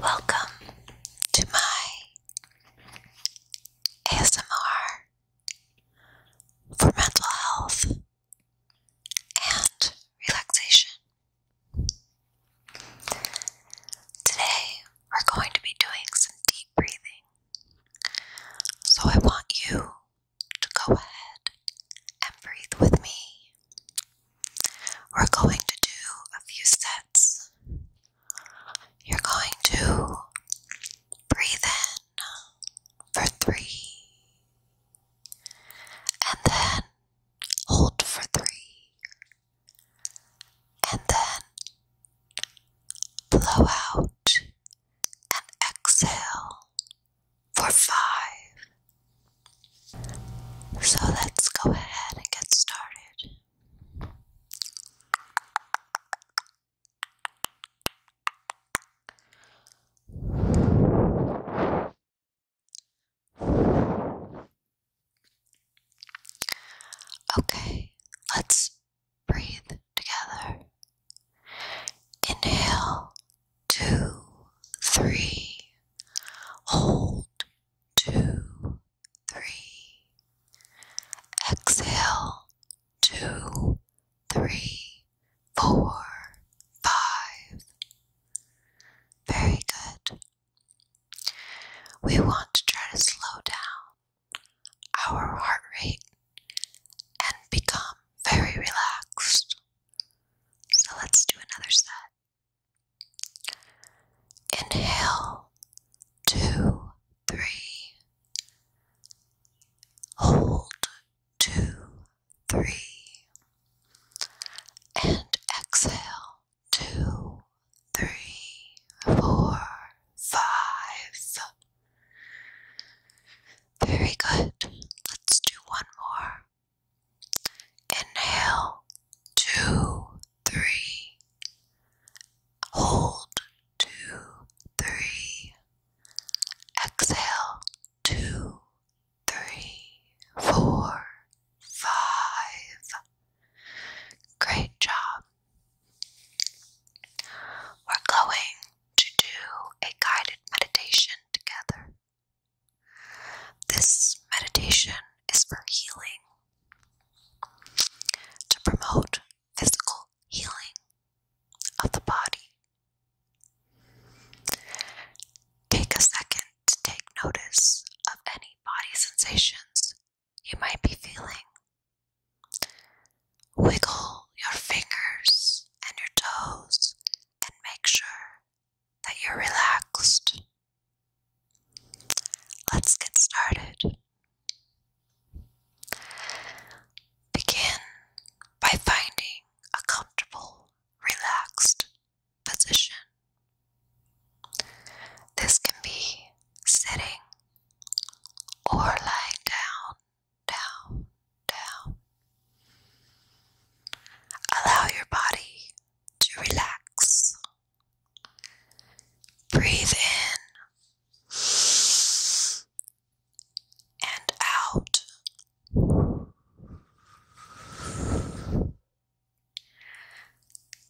Welcome to my ASMR for mental health and relaxation. Today we're going to be doing some deep breathing. So I want you to go ahead and breathe with me. We're going to do a few sets. You're going to breathe in for three, and then hold for three, and then blow out and exhale for five. So let's go ahead and get started. Okay, let's breathe together. Inhale, two, three. Hold, two, three. Exhale, two, three, four, five. Very good. We want to try to slow down our heart rate and become very relaxed. So let's do another set. Inhale, two, three. Hold, two, three. And exhale, two, three, four, five. Very good. Let's do one more. Inhale, two, three. Hold, two, three. Exhale, two, three, four, five. Great job. We're going to do a guided meditation together. This meditation is for healing, to promote physical healing of the body. Take a second to take notice of any body sensations you might be feeling Wiggle your fingers and your toes and make sure that you're relaxed. Let's get started. Begin by finding a comfortable, relaxed position. This can be sitting or lying down down, down. Allow your body to relax. Breathe in and out.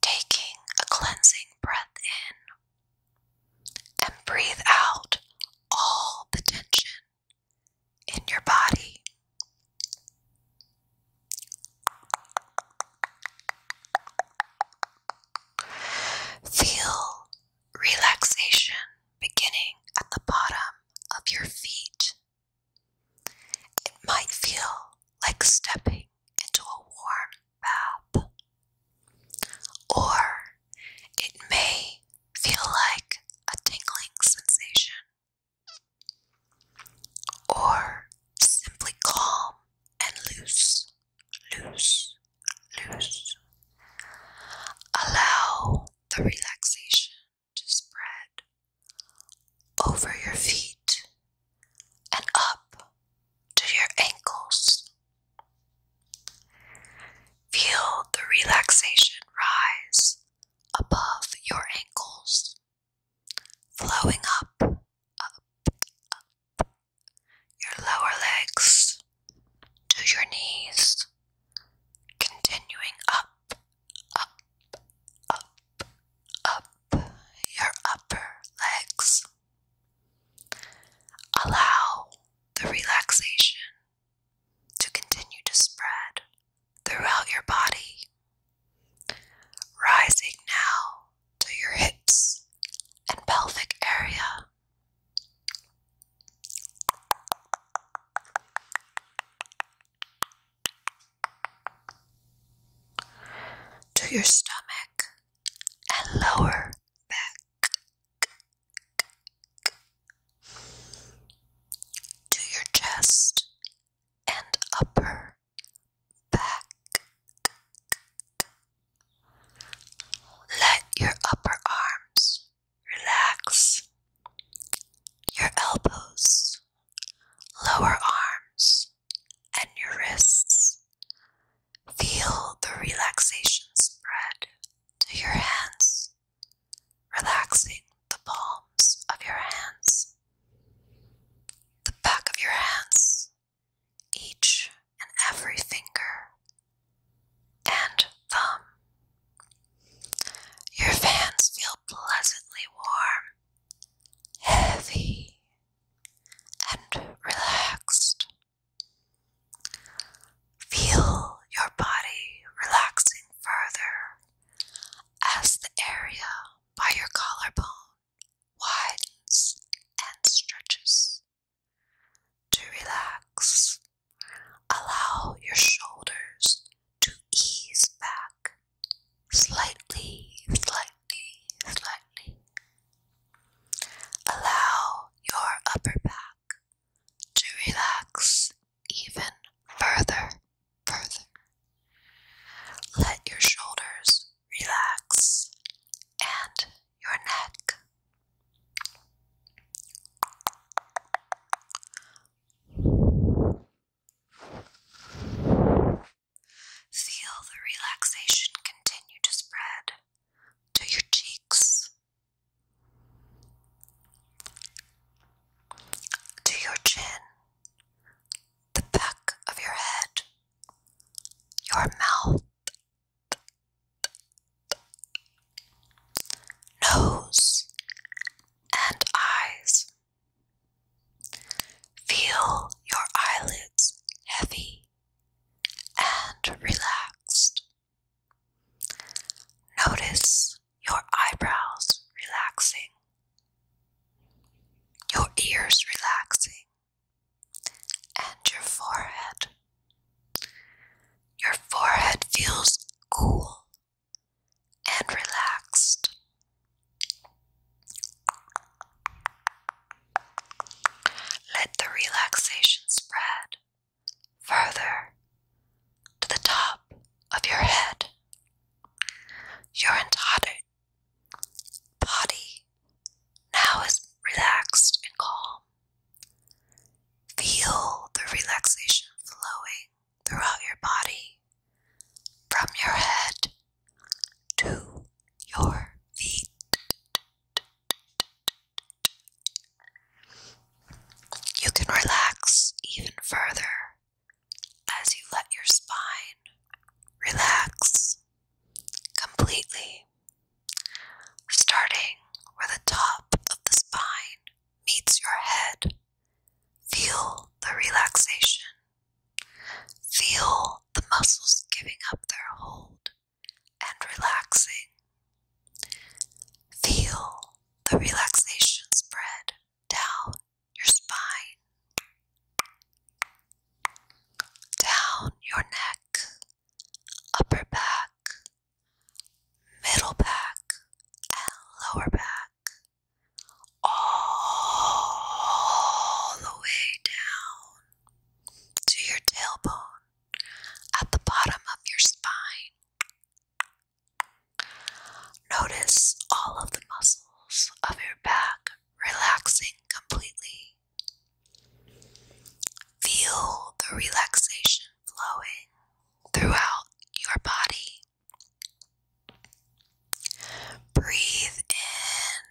Taking a cleansing breath in and breathe out all the tension in your body. Feel relaxation beginning at the bottom of your feet. It might feel like stepping into a warm or it may feel like a tingling sensation. Or simply calm and loose, loose, loose. Allow the relaxation to spread over your feet and up to your ankles Feel the relaxation rise above your ankles, flowing up, up, up your lower legs to your knees, continuing up, up, up, up your upper legs, Allow the relaxation to continue to spread throughout your body, rising now to your hips and pelvic area. To your stomach and lower back to your chest and upper back. Let your upper arms relax, your elbows, lower arms, and your wrists Feel the relaxation spread to your hands, relaxing the palms of your hands, the back of your hands, each and every finger and thumb. Your fans feel pleasantly warm, heavy, and relaxed. Feel your body relaxing further as the area by your collarbone widens and stretches. To relax, allow your shoulders to ease back slightly, slightly, Allow your upper back to relax even further, further. Let your shoulders relax and your neck. Feel the relaxation continue to spread to your cheeks, to your chin, the back of your head, your mouth, nose, and eyes. Feel your eyelids heavy and relaxed. Notice your eyebrows relaxing, your ears relaxing, and your forehead. Your forehead feels cool and relaxed. Let the relaxation spread further to the top of your head. Your entire body now is relaxed and calm. Feel the relaxation flowing throughout your body from your head to your feet. You can relax even further as you let your spine relax completely, starting where the top of the spine meets your head. Feel the relaxation. Feel the muscles giving up their hold and relaxing. Feel the relaxation spread down your spine, down your neck, upper back, middle back, and lower back, all the way down to your tailbone at the bottom of your spine. Notice all of the muscles of your back relaxing completely. Feel the relaxation flowing throughout your body. Breathe in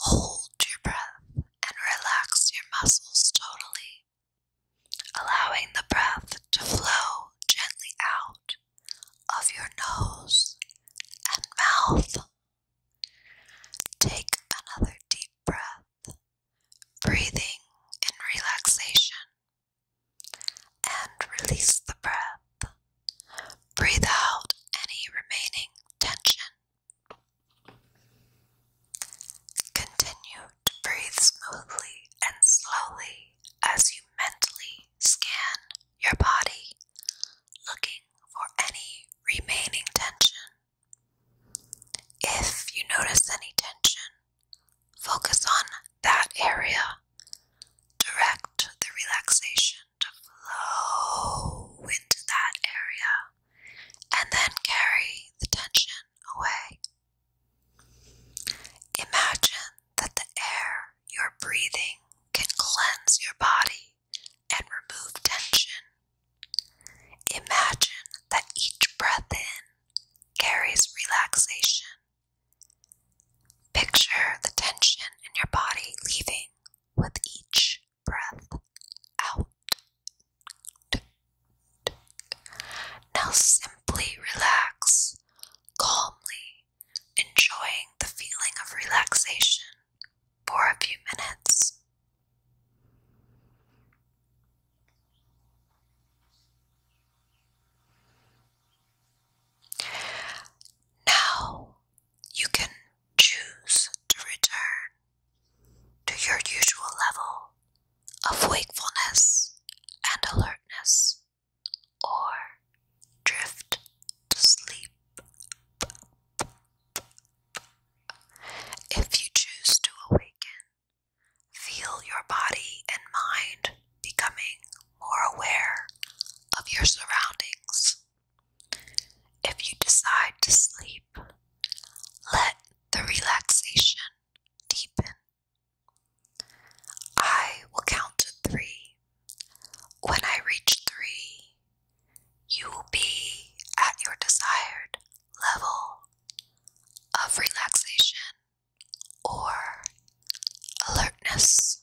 Hold your breath and relax your muscles totally, allowing the breath to flow gently out of your nose and mouth. Take another deep breath, breathing in relaxation, and release the breath Breathe out any remaining tension. Continue to breathe smoothly and slowly as you mentally scan your body, looking for any remaining tension. If you notice any tension, focus on that area. Direct the relaxation to flow into that area and then carry the tension away. Imagine that the air you're breathing can cleanse your body and remove tension. Imagine that each breath in carries relaxation. Picture the tension in your body leaving with each breath out. Now simply relax calmly, enjoying the feeling of relaxation for a few minutes. Now you can choose to return to your usual level of wakefulness and alertness or drift to sleep. If you choose to awaken, feel your body and mind becoming more aware of your surroundings if you decide to sleep, let the relaxation deepen. I will count to three. When I reach three, you will be at your desired level of relaxation or alertness.